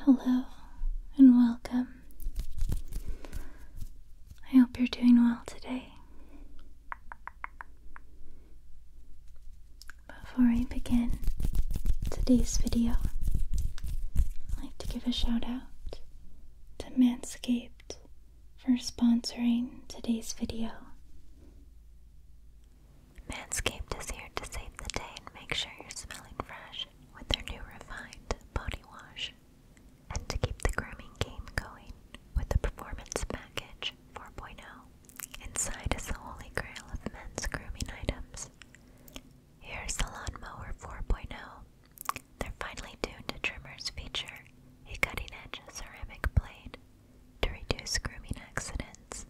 Hello and welcome. I hope you're doing well today. Before I begin today's video, I'd like to give a shout out to Manscaped for sponsoring today's video. Manscaped is here to save the day and make sure you're smelling fresh with their new refined body wash. And to keep the grooming game going with the Performance Package 4.0. Inside is the holy grail of men's grooming items. Here's the Lawnmower 4.0. They're finely tuned to trimmers feature a cutting edge ceramic blade to reduce grooming accidents.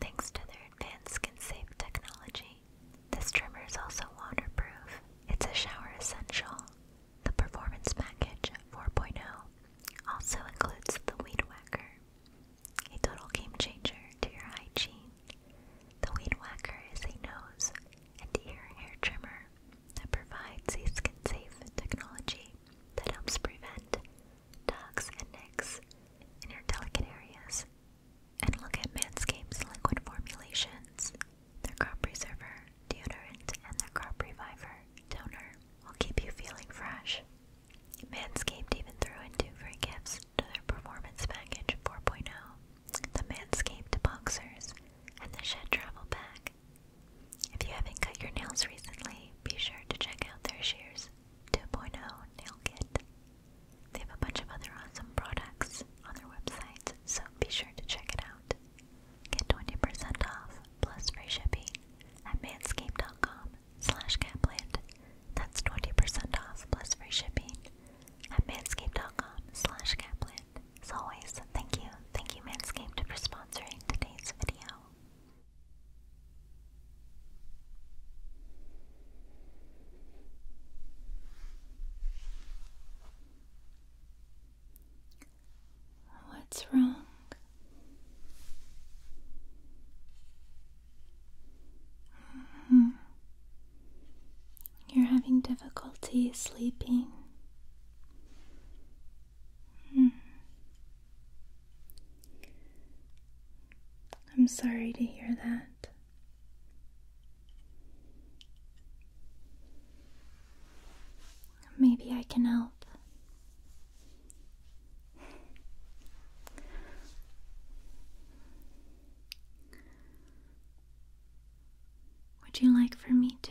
Thanks to their advanced skin-safe technology, this trimmer is also waterproof. It's a shower essential. The Performance Package 4.0 also includes the Weed Whacker, a total game changer to your hygiene. The Weed Whacker is a nose and ear hair trimmer that provides a skin-safe technology that helps prevent tucks, and nicks in your delicate areas. And look at Manscaped's liquid formulations, their crop preserver, deodorant, and their crop reviver toner will keep you feeling fresh. Manscaped even threw in two free gifts to their Performance Package 4.0 the Manscaped Boxers and the Shed Travel bag. If you haven't cut your nails recently, be sure to check out their shears 2.0 nail kit. They have a bunch of other awesome products on their website, so be sure to check it out. Get 20% off plus free shipping at manscaped.com slash capland. That's 20% off plus free shipping at manscaped.com slash capland. As always, thank you, thank you Manscaped for sponsoring today's video. What's wrong? Mm-hmm. You're having difficulty sleeping. Hmm. I'm sorry to hear that. Maybe I can help. Would you like for me to?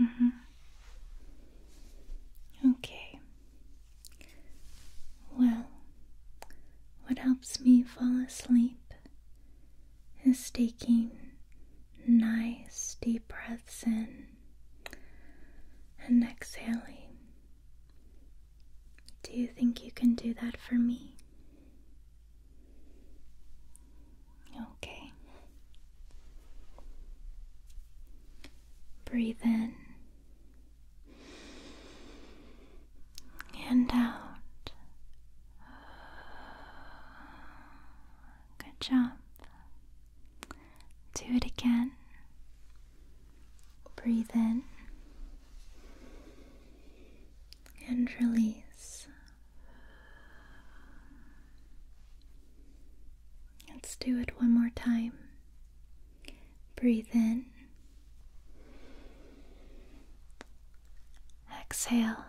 Mm -hmm. Okay. Well, what helps me fall asleep is taking nice deep breaths in and exhaling. Do you think you can do that for me? Okay. Breathe in and out. Good job. Do it again. Breathe in and release. Let's do it one more time. Breathe in. Exhale.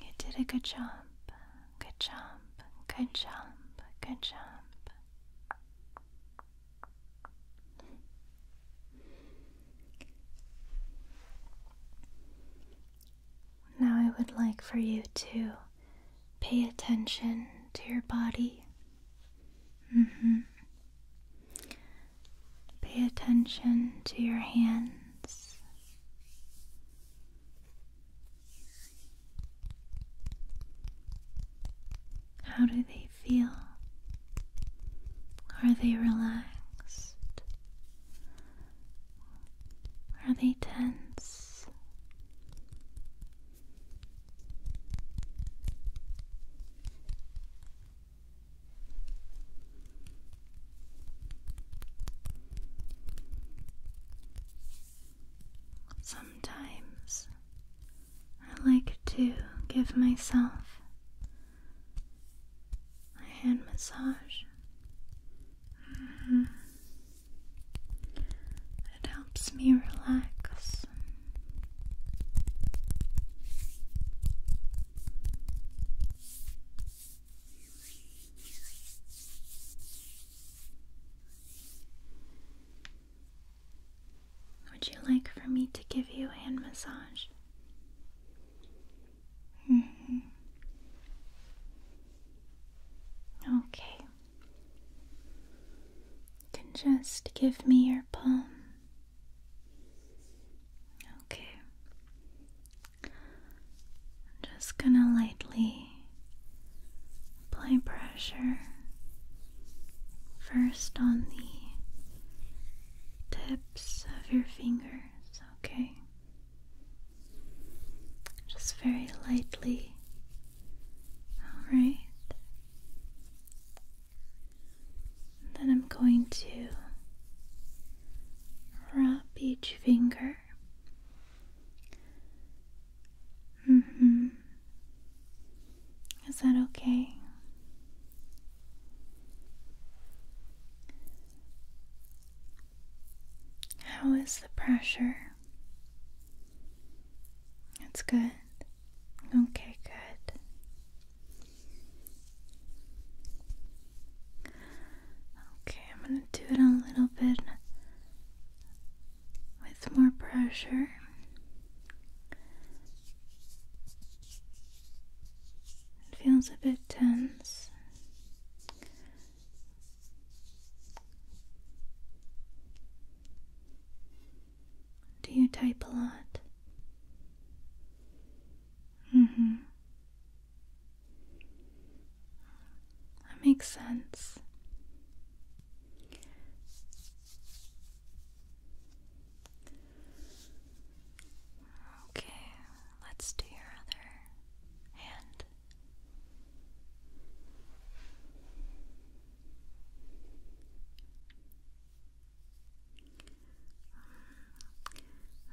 You did a good jump. Good jump. Good jump. Good jump. Now, I would like for you to pay attention to your body. Mm-hmm. Pay attention to your hands. How do they feel? Are they relaxed? Are they tense? Sometimes I like to give myself a hand massage. Mm-hmm. It helps me relax. Would you like for me to give you a hand massage? Mm-hmm. Okay. can just give me your palm. Okay. just gonna lightly apply pressure first on the tips of your fingers, okay? Just very lightly. All right. then I'm going to rub each finger. Mhm. Is that okay? How is the pressure? It's good. Okay, good. Okay, I'm going to do it a little bit with more pressure. It feels a bit tense. Do you type a lot? Mm-hmm. That makes sense. Okay, let's do your other hand. Mm,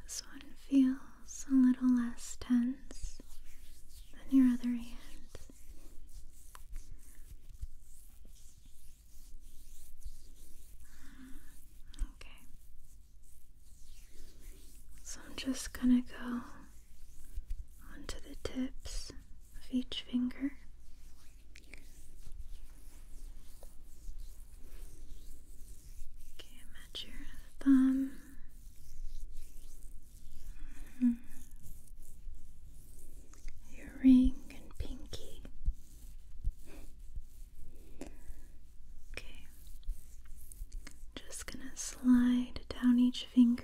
this one feels a little less tense than your other hand. Okay. So I'm just going to go onto the tips of each finger. Okay, match your thumb. Mm-hmm. Your ring and pinky. Okay. Just gonna slide down each finger.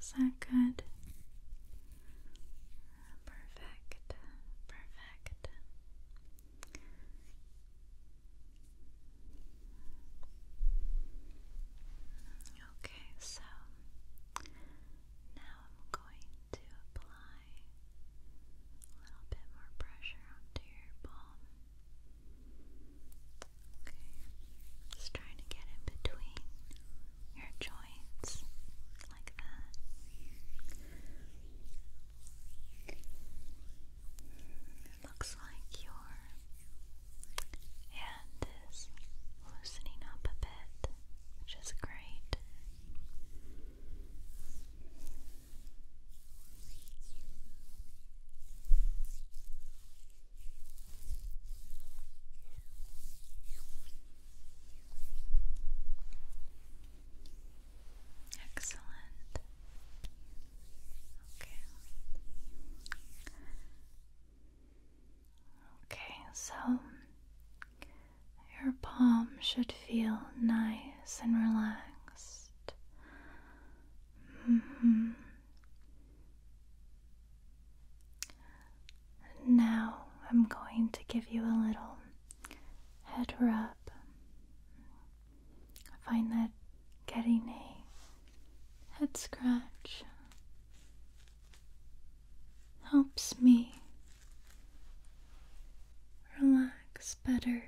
Is that good? Perfect, perfect. Okay, so now I'm going to apply a little bit more pressure onto your palm. just trying to get in between your joints like that. It looks like your hand is loosening up a bit, which is great. Excellent. Okay. Okay, so your palm should feel nice and relaxed. Mm-hmm. Now I'm going to give you a little head rub. I find that getting a head scratch helps me relax better.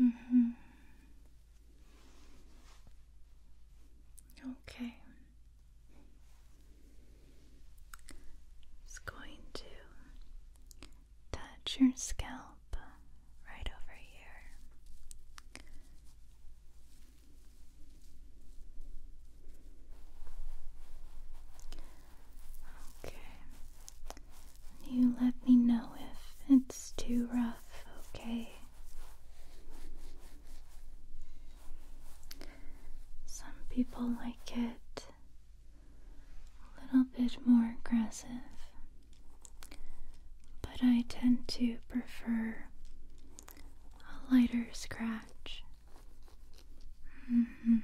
Mm-hmm. Okay. Just going to touch your scalp right over here. Okay. You let me know if it's too rough, okay? Some people like it a little bit more aggressive, but I tend to prefer a lighter scratch. Mm-hmm.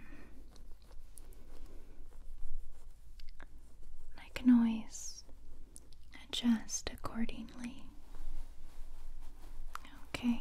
I can always adjust accordingly. Okay,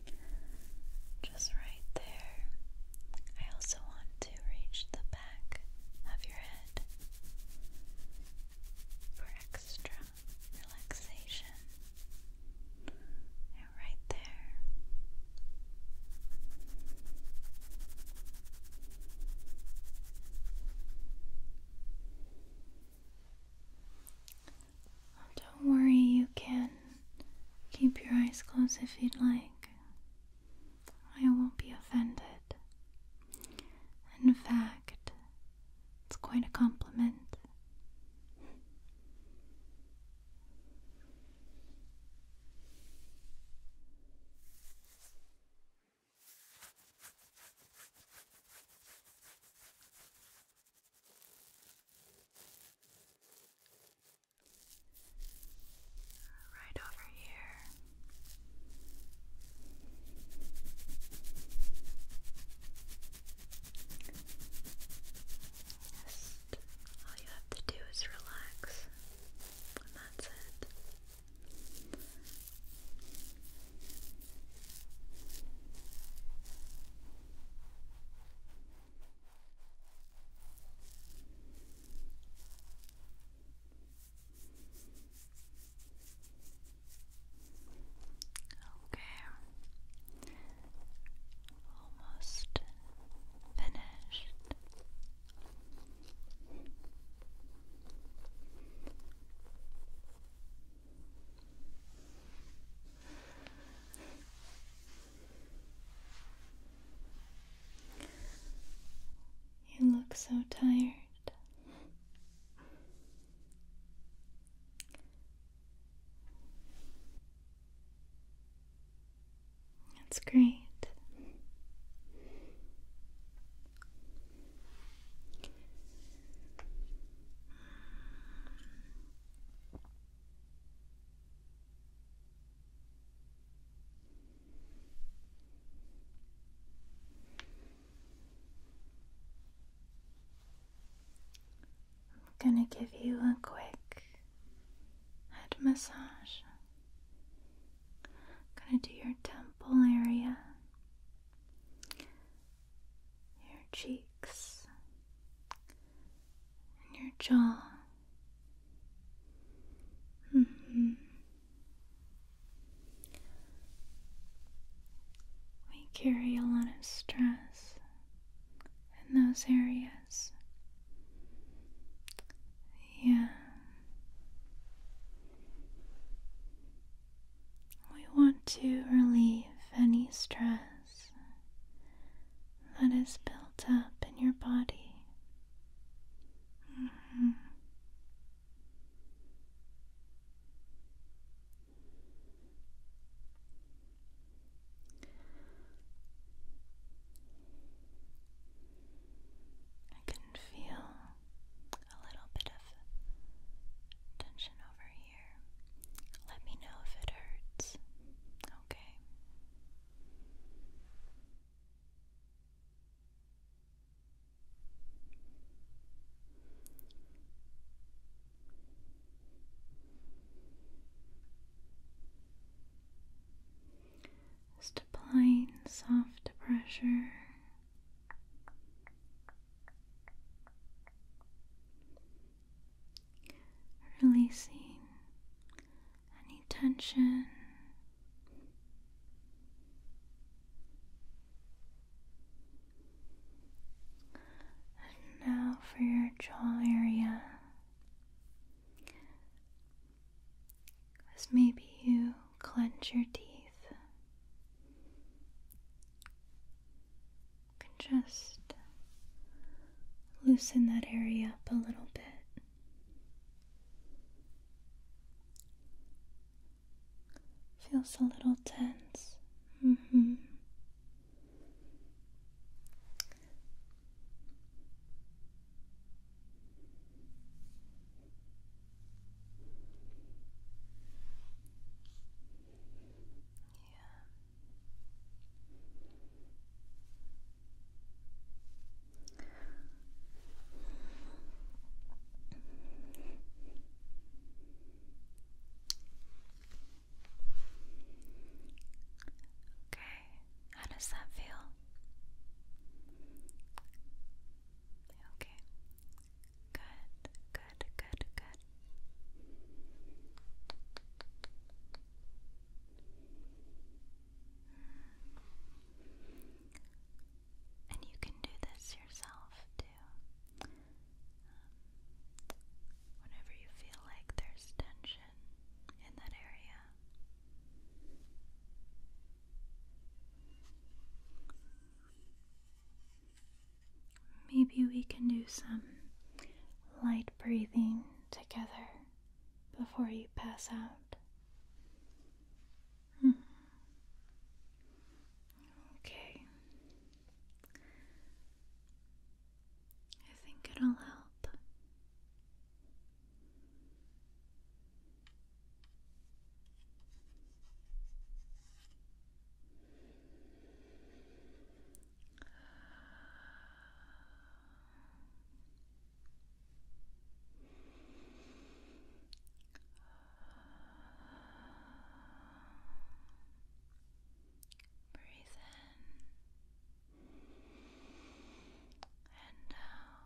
just right there. I also want to reach the back of your head for extra relaxation. And right there. don't worry, you can keep your eyes closed if you'd like. I won't be offended. In fact, it's quite a compliment. Right over here. Just all you have to do is relax, and that's it. Okay. Almost finished. You look so tired. That's great. I'm going to give you a quick head massage. going to do your temple area, your cheeks, and your jaw. Mm-hmm. We carry a lot of stress in those areas. Yeah. We want to relieve any stress that is built up in your body. Mm-hmm. I can feel a little bit of tension over here. Let me know if it hurts. Okay. Just applying soft pressure. Releasing any tension. And now for your jaw area. As maybe you clench your teeth, can just loosen that area up a little bit. Feels a little tense. hmm. Yeah. Okay, how does that feel? Okay, good, good, good, good. And you can do this yourself too. Um, whenever you feel like there's tension in that area. Maybe we can do some light breathing together before you pass out. Hmm. Okay. I think it'll help. Breathe in and out.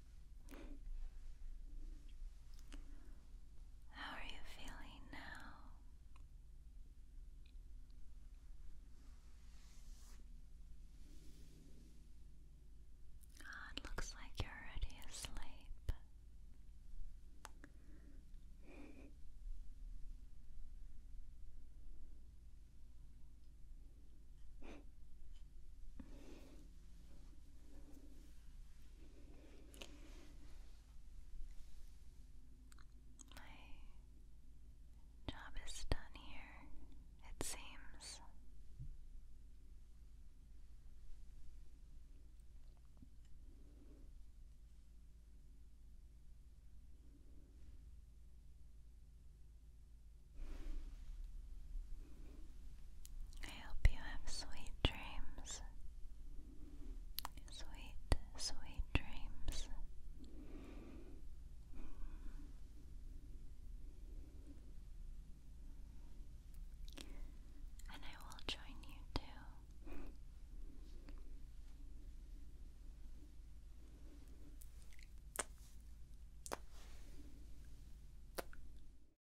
How are you feeling now? Ah, it looks like you're already asleep. My job is done here, it seems. I hope you have sweet dreams. Sweet, sweet dreams. And I will join you too.